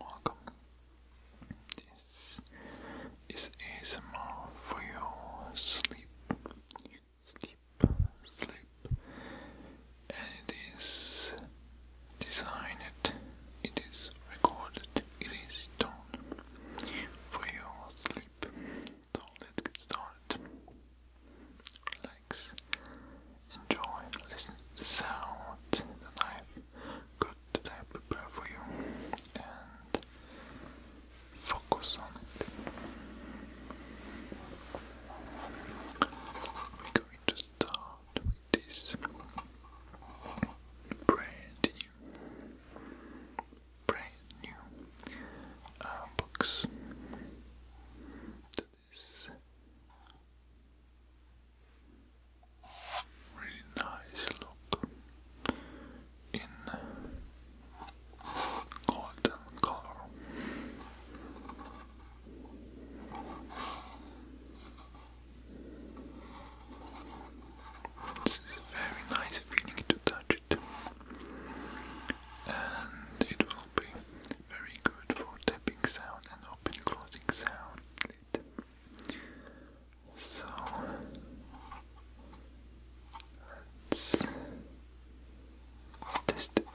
Welcome. This is ASMR for your sleep, sleep, sleep, and it is designed, it is recorded, it is done for your sleep. let's get started enjoy, listen to the sound that I've got that I prepare for you, and focus on it. We're going to start with this brand new, brand new uh, this really nice look in golden color. This is very nice feeling to touch it, and it will be very good for tapping sound and open closing sound. So let's test it.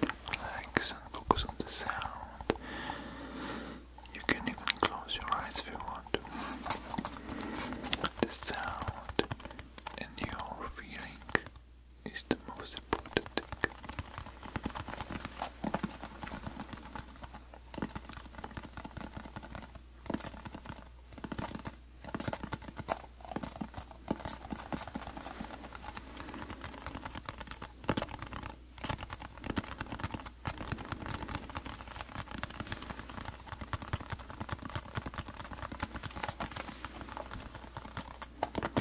Relax focus on the sound. You can even close your eyes if you want The sound and your feeling is the most important thing. We're going to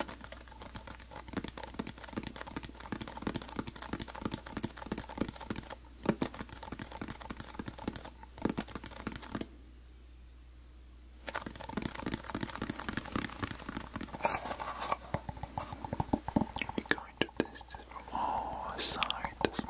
test it from all sides.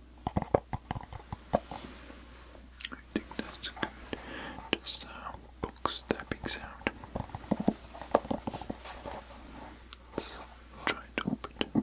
I think that's good. Just a uh, book sound. Let's try to open it.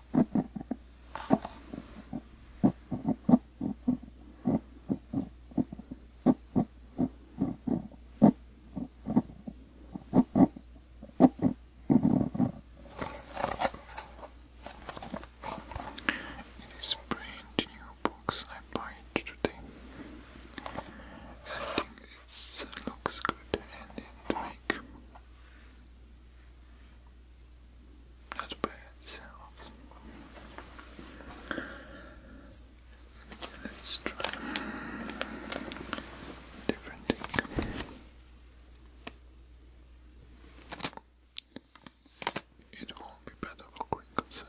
It is brand new box I buy today. I think it looks good and it not by itself. Let's try different thing. It will be better for quick concert.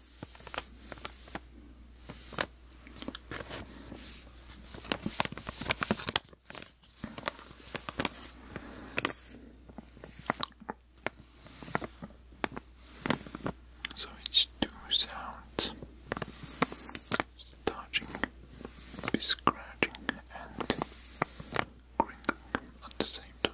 So it's two sounds touching, be scratching, and crinkling at the same time.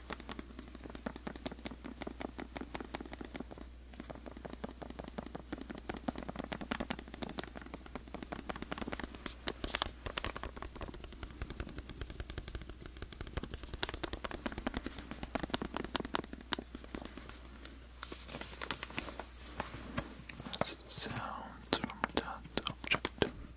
That's the sound from that object.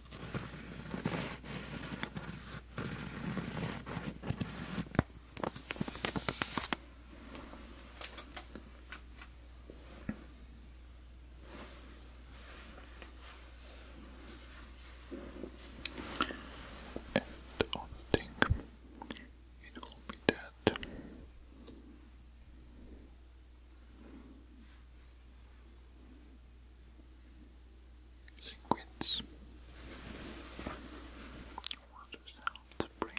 And on the it will be dead liquids water sounds, spring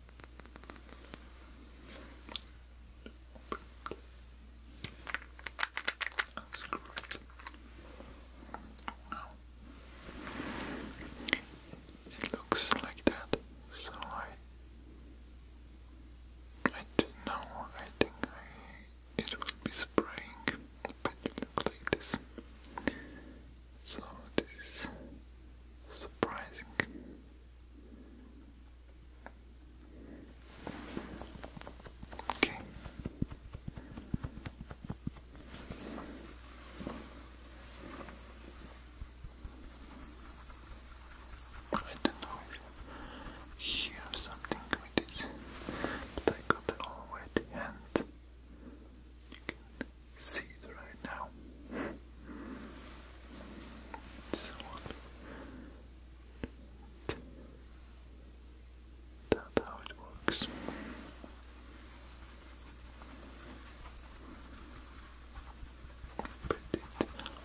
That's great. It looks like that, so I I didn't know, I think it will be spraying, but it looks like this. So this is surprising. Okay. I don't know if here something with this, but I got all wet hand. You can see it right now. This one. That's how it works. But it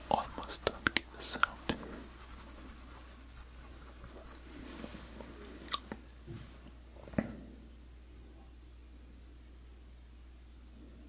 almost don't give a sound.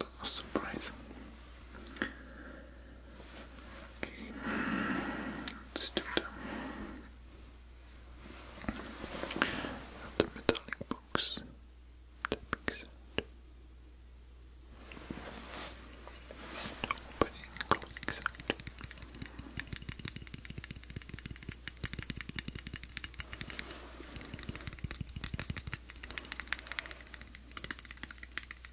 That was surprising. Okay, let The metallic box. Tapping sound. Opening, closing sound.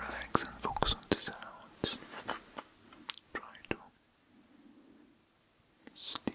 Relax and focus on the sounds. Try to sleep.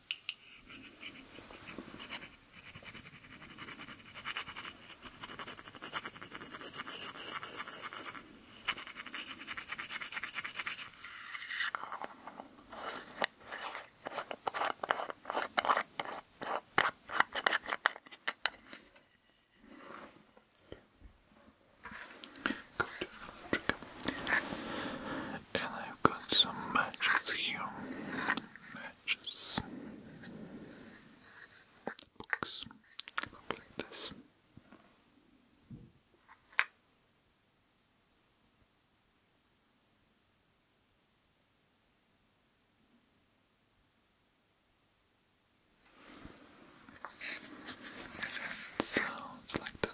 Good trick. And I've got some matches here purchase books like this. sounds like that.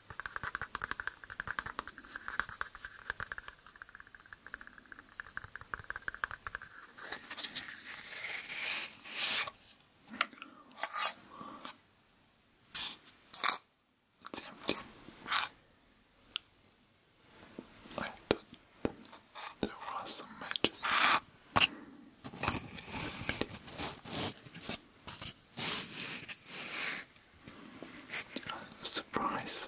It's empty. I thought there was some matches. It's empty. A surprise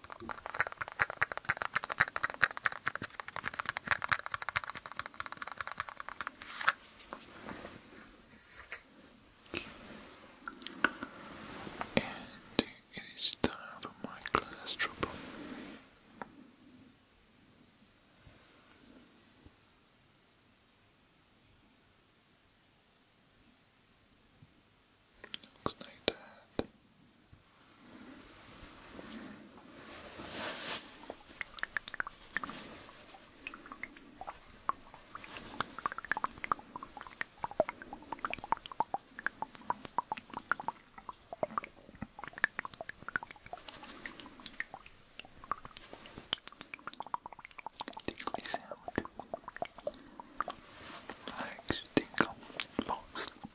And it is time for my class trouble. Looks like that. Tickly sound. Relax, tinkle,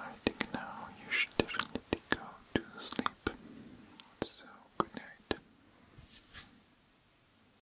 I think now you should definitely go to sleep. So, good night.